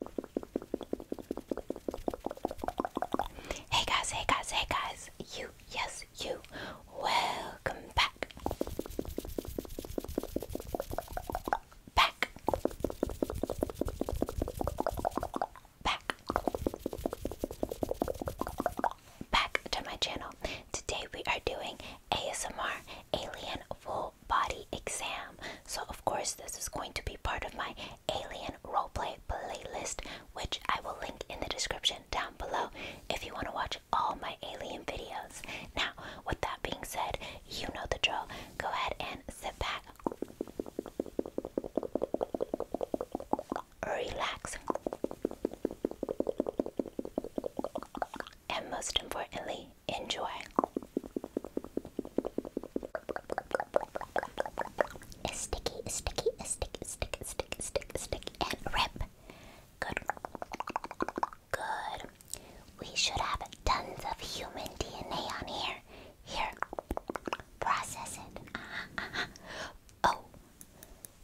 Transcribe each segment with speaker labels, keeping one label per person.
Speaker 1: Hey guys, hey guys, hey guys, you, yes, you, welcome back. Back. Back. Back to my channel. Today we are doing ASMR Alien Full body exam. So, of course, this is going to be part of my alien roleplay playlist, which I will link in the description down below if you want to watch all my alien videos. Now, with that being said, you know the drill. Go ahead and sit back, relax, and most importantly, Enjoy. A sticky, sticky, sticky, sticky, sticky, sticky, sticky, and rip. Good. Good. We should have tons of human DNA on here. Here. Process uh-huh. Oh.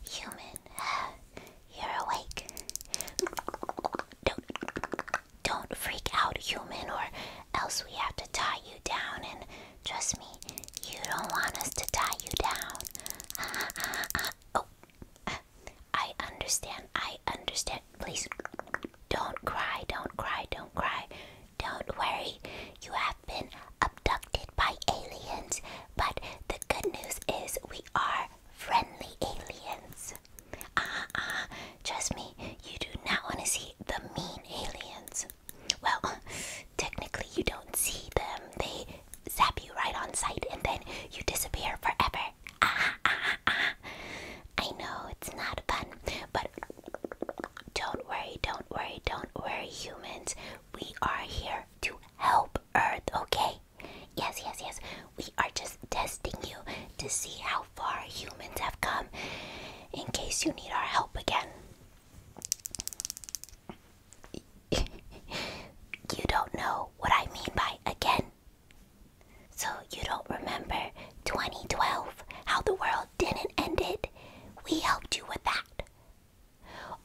Speaker 1: Human. You're awake. Don't freak out, human, or else we have to tie you down. And trust me, you don't want us to tie you down. Oh, I understand. I understand. Please don't cry. Don't cry. Don't cry. Don't worry. You have been abducted by aliens, but the good news is we are friendly aliens aliens. Ah, uh, ah, uh, trust me, you do not want to see the mean aliens. Well, technically, you don't see them. They zap you right on sight and then you disappear forever. Ah, ah, ah. I know it's not fun, but don't worry, don't worry, don't worry, humans. We are here to help Earth, okay? Yes, yes, yes. We are just testing you to see how far humans have come in case you need our help again. you don't know what I mean by again. So, you don't remember 2012, how the world didn't end it? We helped you with that.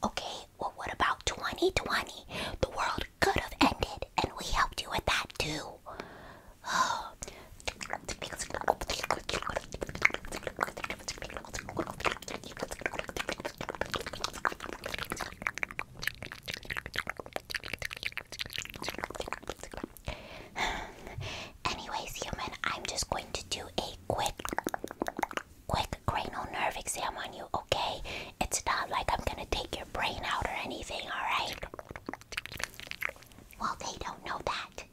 Speaker 1: Okay, well, what about 2020? The world could have ended, and we helped you with that too. Anyways, human, I'm just going to do a quick, quick cranial nerve exam on you, okay? It's not like I'm gonna take your brain out or anything, alright? Well, they don't know that.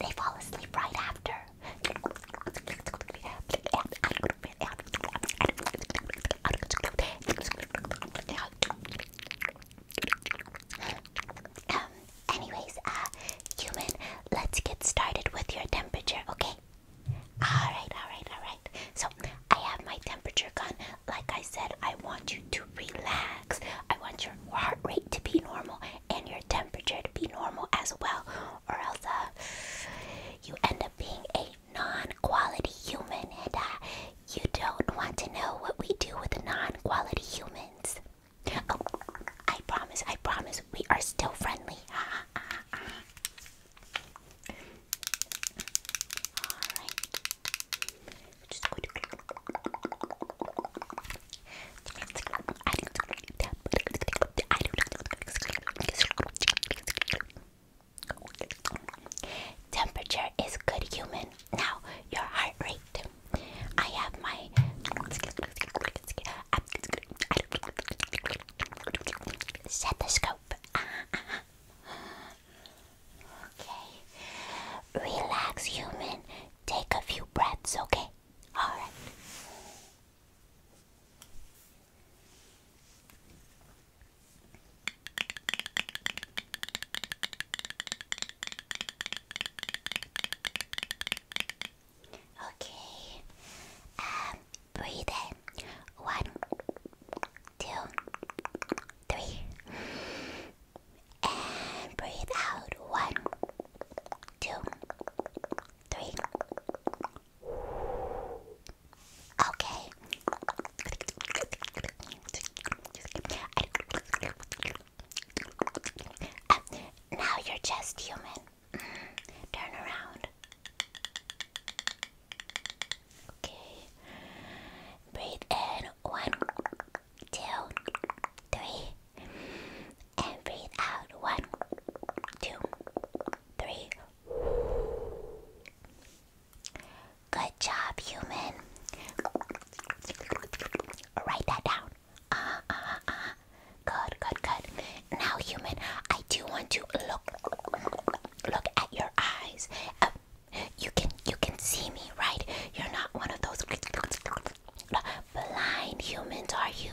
Speaker 1: They fall asleep right after. Um, anyways, uh, human, let's get started with your temperature, okay? Alright, alright, alright. So, I have my temperature gun. Like I said, I want you to relax. I want your heart rate to be normal and your temperature to be normal as well, or else uh, you end up being a non quality human, and uh, you don't want to know what we do with non quality humans. Oh, I promise, I promise, we are still friendly. Alright just going to I don't Temperature is good human. Now your heart rate. I have my stethoscope. Uh, uh, Okay. Relax, human. Take a few breaths, okay? Alright. Okay. Um, breathe One, two, three. And breathe out. One, two, three. Okay. now you're just human. Mm-hmm. Turn around. Okay. Breathe in. One, two, three. And breathe out. One, two, three. Good job, human. Write that down. Uh -huh, uh uh-huh, uh-huh. Good, good, good. Now, human, I do want to look, look at your eyes. Uh, you can you can see me, right? You're not one of those blind humans, are you?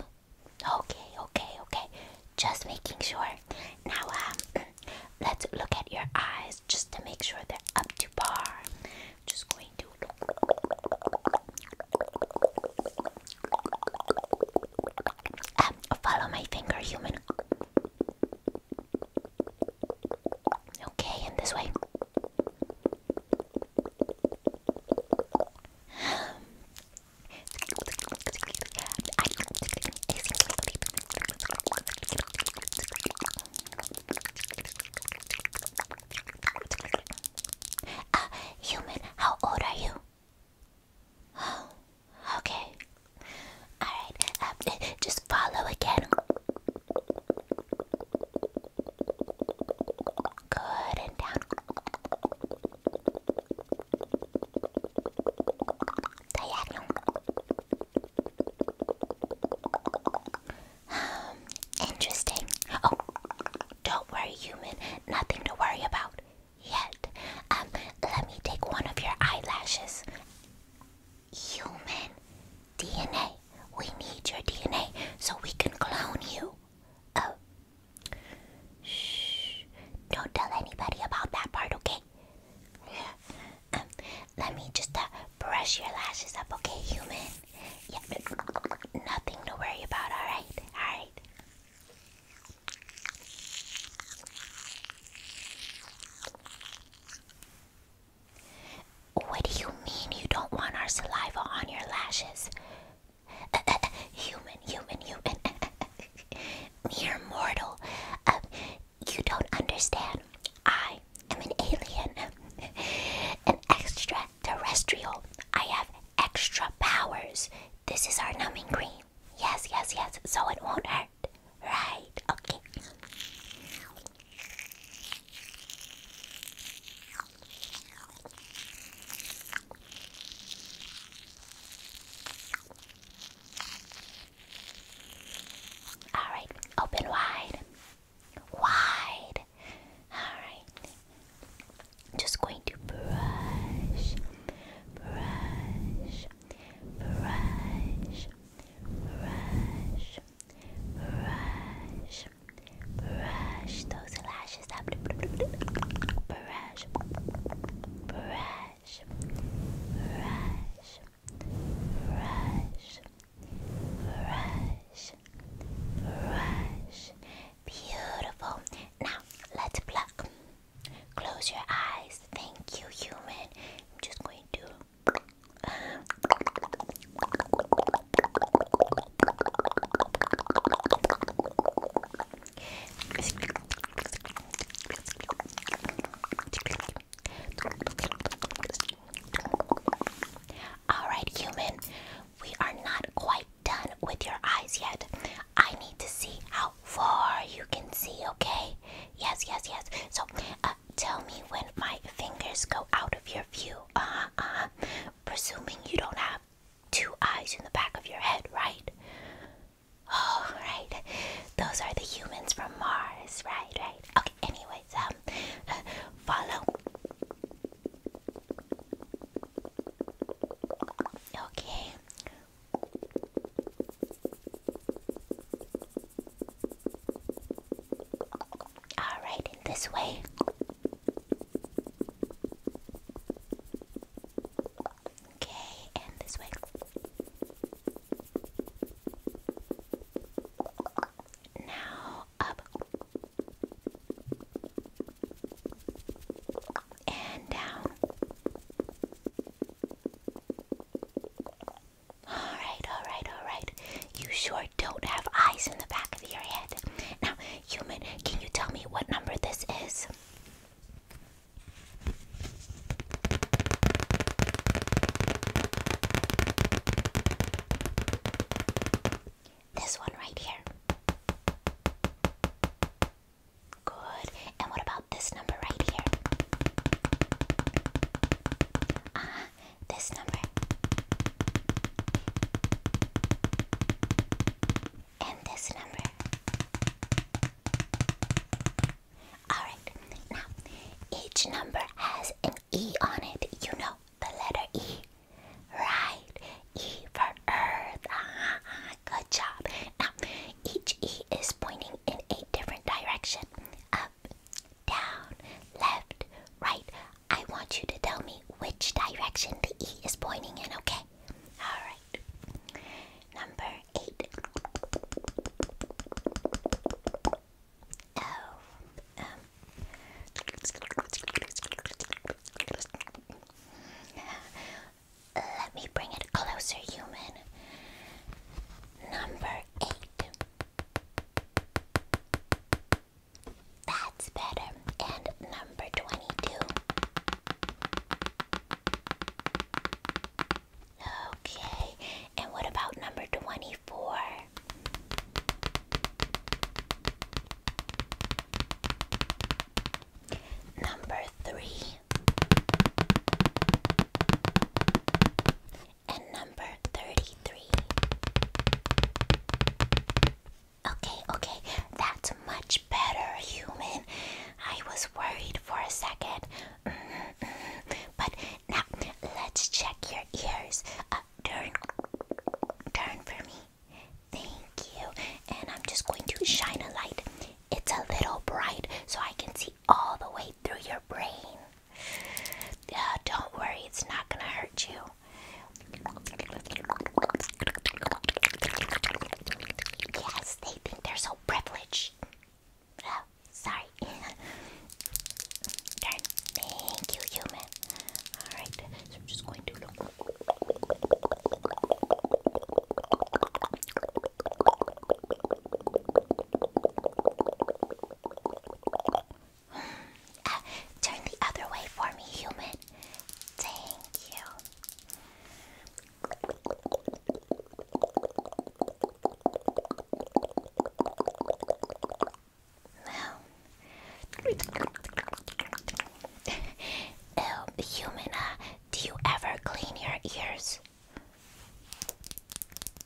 Speaker 1: Okay, okay, okay. Just making sure. Now, um, let's look at your eyes just to make sure they're up to par. Just going to. Um, follow my finger, human. Okay, in this way. Ah, human, how old are you? Oh, okay. Alright, um, just follow again. Good and down. Diagonal. Um, interesting. Oh, don't worry, human. Nothing to worry about yet. Um, let me take one of your eyelashes human DNA. We need your DNA so we can clone you. Oh. Shh. Don't tell anybody about that part, okay? Um, let me just uh, brush your lashes up, okay, human? Yeah, nothing to worry about, alright? Alright. What do you mean you don't want our saliva on your lashes? Uh, uh, uh, human, human, human. Mere mortal. Uh, you don't understand. I am an alien, an extraterrestrial. I have extra powers. This is our numbing cream. Yes, yes, yes. So it won't hurt. Right, okay. Alright, open wide. Wide. Alright. Just going to brush, brush brush, brush, brush, brush those lashes up. Brush, brush, brush, brush, brush, brush. Beautiful. Now let's pluck. Close your eyes. Thank you, human. I'm just going to all right, human, we are not quite done with your eyes yet. I need to see how far you can see, okay? Yes, yes, yes. So, uh, tell me when my fingers go out of your view. Uh huh, uh-huh. Presuming you don't have two eyes in the back of your head, right? Oh, Those are the humans from Mars, right? Right. Okay. Anyways, um, uh, follow. Okay. All right, in this way. Okay, and this way. Now up. And down. Alright, alright, alright. You sure don't have eyes in the back of your head. Now, human, can you tell me what number this is? This one right here. Good. And what about this number right here? Ah, this number. And this number. Alright, now each number has an E on it. You know the letter E. Right. E for Earth. Ah, good job. Now, each E is pointing in eight different directions up, down, left, right. I want you to tell me which direction the E is pointing in, okay? Alright. Number eight. Oh, Let me bring it closer, human. Number eight. That's better. And number 22. Okay, and what about number 24? Number 3. And number 33. Okay, okay, that's much better, human. I was worried for a second. Mm-hmm, mm-hmm. But now let's check your ears. Uh, turn, turn for me. Thank you. And I'm just going to shine a light. It's a little bright, so I can see all the way through your brain. Uh, don't worry, it's not gonna hurt you. Yes, they think they're so privileged. Oh, sorry. Darn. Thank you, human. Alright, so I'm just going to turn the other way for me, human. Thank you. Well. Oh, human, uh, do you ever clean your ears?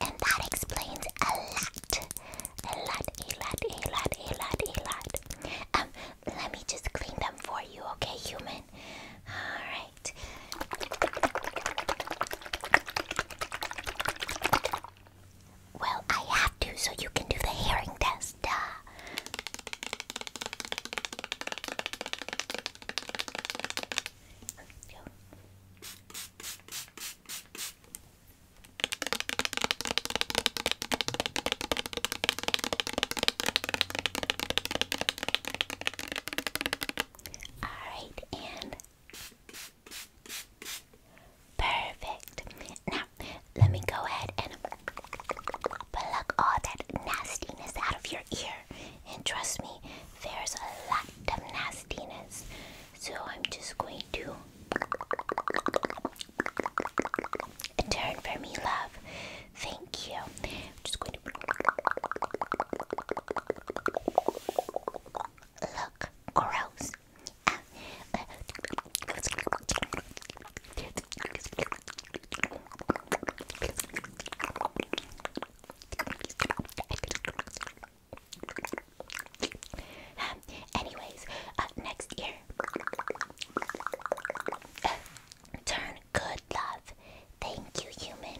Speaker 1: And that explains a lot. A lot, a lot, a lot, a lot, Um, let me just clean them for you, okay, human? Alright. Well, I have to so you can do the hearing test. Duh. All right, and perfect. Now, let me go ahead and plug all that nastiness out of your ear and trust me, there's a lot of nastiness. So I'm just going to turn for me, love. Thank you. I'm just going to look gross. Um, anyways, uh, next ear. turn good love. Thank you, human.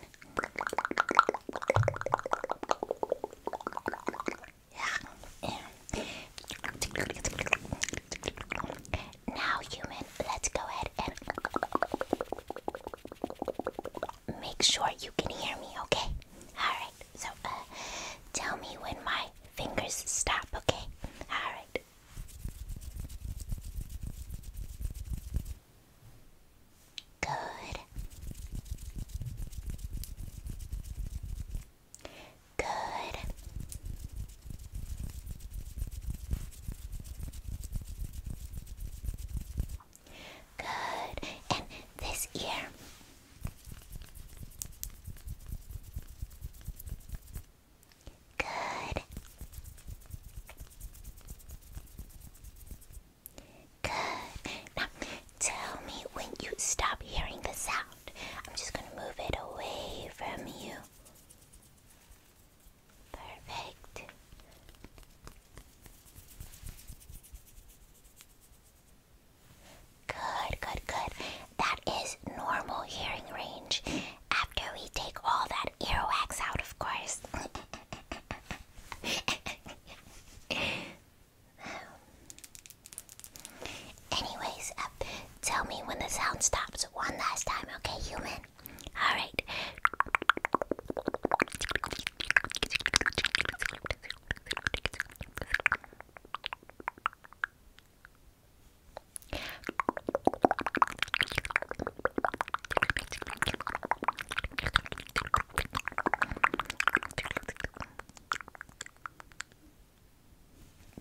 Speaker 1: Now, human, let's go ahead and make sure you can hear me, okay? Alright, so uh, tell me when my fingers stop, okay? Alright. Good. Good. Good. And this ear. Good. Good. Now, tell me when you stop hearing the sound. I'm just going to move it away from you. Perfect. Good, good, good. That is normal hearing range after we take all that ear wax out, of course. Anyways, uh, tell me when the sound stops one last time, okay, human? All right.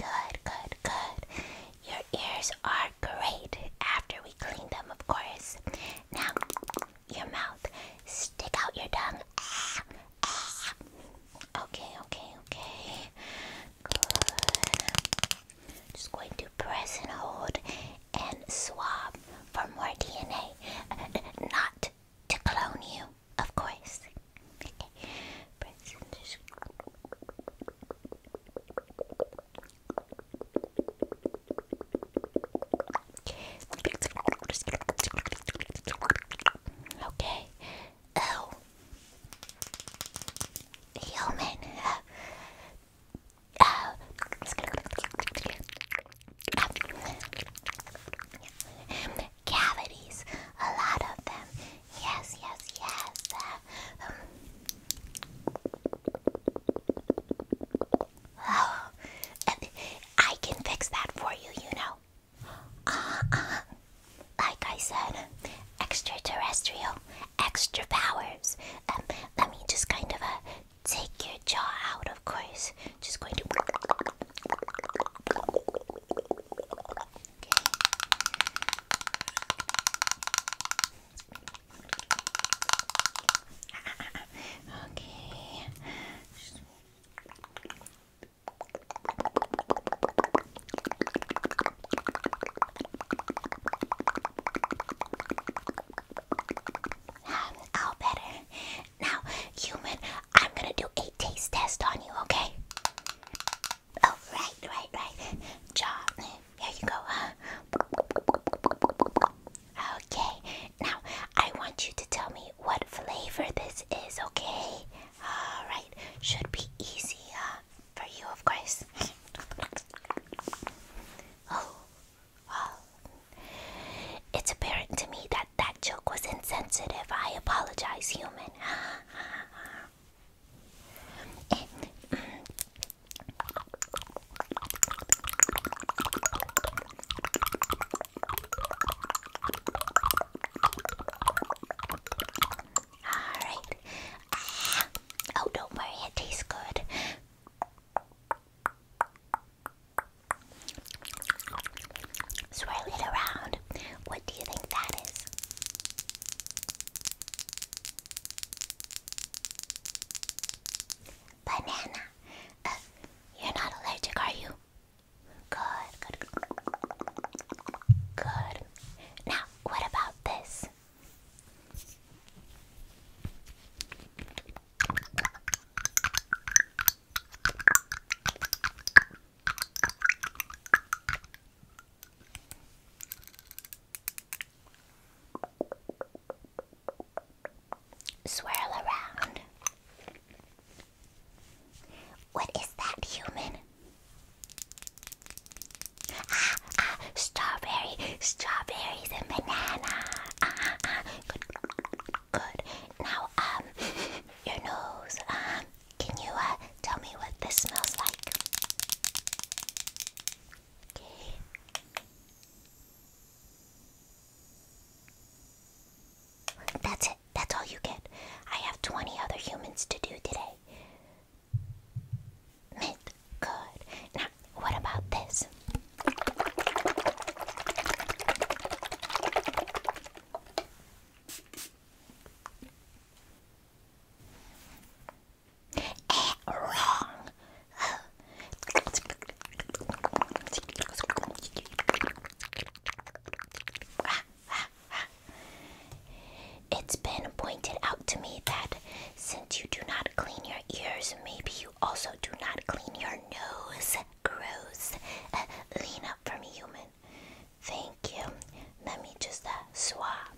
Speaker 1: Good, good, good. Your ears are great after we clean them, of course. Now, your mouth. Stick out your tongue. Okay, okay, okay. Just going to press and hold and swab for more DNA. Not to clone you, of course. Okay. Okay. Oh. Human. Uh, uh, Cavities. A lot of them. Yes, yes, yes. Um, I can fix that for you, you know. Uh, uh, like I said, extraterrestrial, extra powers. Um, let me just kind of uh, take your jaw out, of course. Just going to. okay. I'll better. Now, human, I'm gonna do a taste test on you, okay? Oh, right, right, right. Jaw, there you go. Okay, now I want you to tell me what flavor this is, okay? Alright, should be easy uh, for you, of course. oh, it's apparent to me that that joke was insensitive. I apologize, human. Eh, mm, Alright. Ah. Oh, don't worry, it tastes good. Swirl it around. What do you think that is? Banana. Uh, you're not allergic, are you? Good, good, good. Now, what about this? Swirl around. What is that, human? Ah, ah, strawberry, strawberries and banana. Ah, ah, ah, good, good. Now, um, your nose. Um, can you uh tell me what this smells like? Okay. That's it. That's all you get. I have 20 other humans to do today. Mint. Good. Now, what about this? Eh, wrong. It's been pointed out to me that since you do not clean your ears, maybe you also do not clean your nose. Gross. Uh, lean up for me, human. Thank you. Let me just uh, swap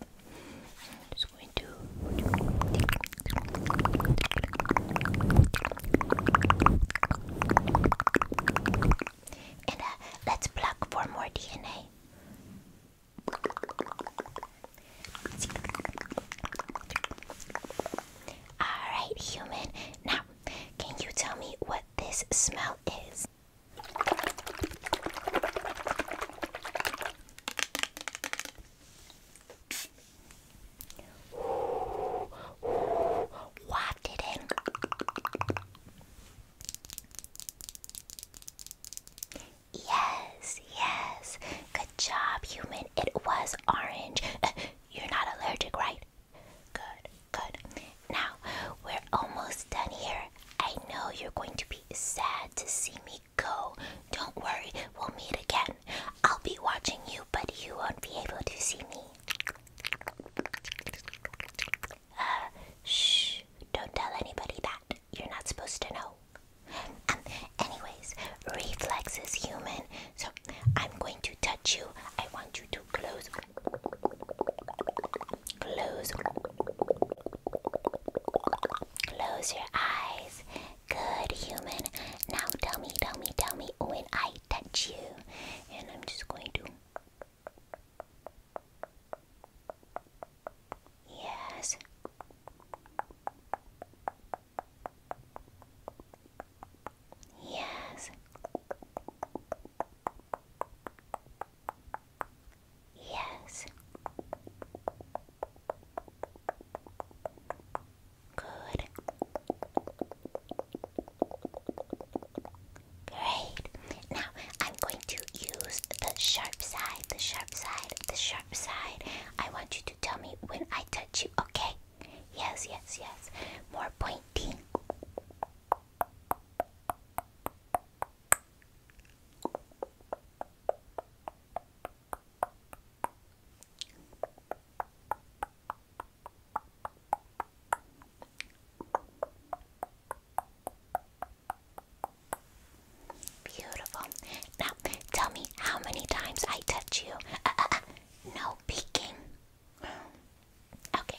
Speaker 1: and uh, let's pluck for more DNA. Alright, human. Now, can you tell me what this smell is? Whacked it in. Yes, yes. Good job, human. It was orange. You're not allergic, right? Good, good. Now, we're almost done here. I know you're going to be sad to see me go. Don't worry, we'll meet again. I'll be watching you, but you won't be able to see me. Uh, shh, don't tell anybody that. You're not supposed to know. Um, anyways, reflex is human, so I'm going to touch you. I want you to close. Close. Close your eyes. Good human. Now tell me, tell me, tell me when I touch you. And I'm just going to. Yes. Yes. Yes. Good. Great. Now I'm going to use the sharp side, the sharp side, the sharp side. I want you to tell me when I touch you, okay? Yes, yes, yes. More pointing. Beautiful. Now, tell me how many times I touch you. Uh, uh, uh, no peeking. Okay.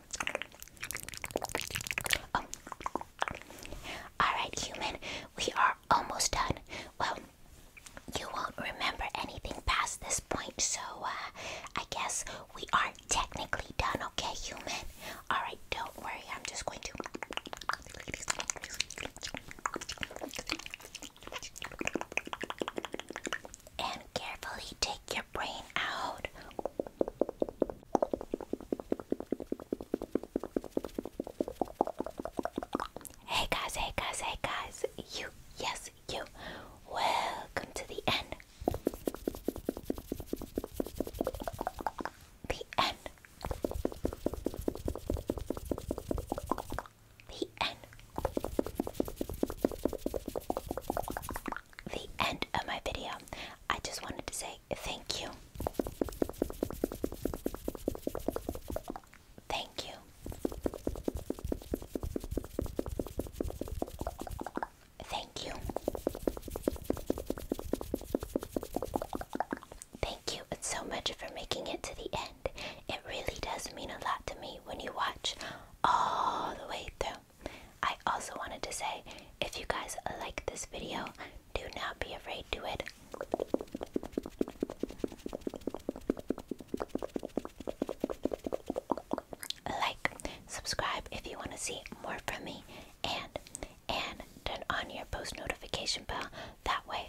Speaker 1: Oh. Alright, human, we are almost done. Well, you won't remember anything past this point, so uh, I guess we are technically done, okay, human? Alright, don't worry, I'm just going to. And carefully take Hey guys, hey guys, hey guys. You, yes, you. Welcome to the end. The end. The end the end of my video. I just wanted to say thank you. Thank you. Thank you. Thank you so much for making it to the end. It really does mean a lot to me when you watch all the way through. I also wanted to say if you guys like this video, do not be afraid to it. Like, subscribe if you want to see more from me, and and turn on your post notification bell. That way,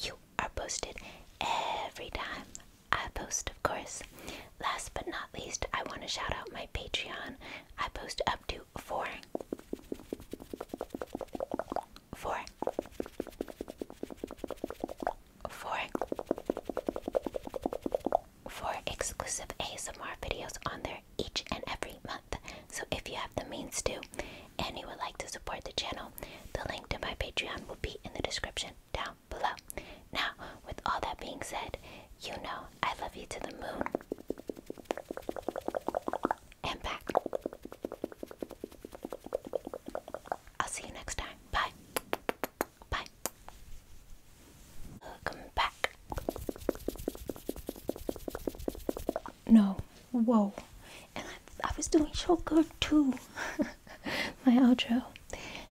Speaker 1: you are posted every time I post, of course. Last but not least, I want to shout out my Patreon. I post up to four, four, four, four exclusive ASMR videos on there each and every month. So if you have the means to, and you would like to support the channel, the link to my Patreon will be in the description down below. Now, with all that being said, you know I love you to the moon and back. I'll see you next time. Bye. Bye. Welcome back. No, whoa. And I, I was doing so good too. My outro.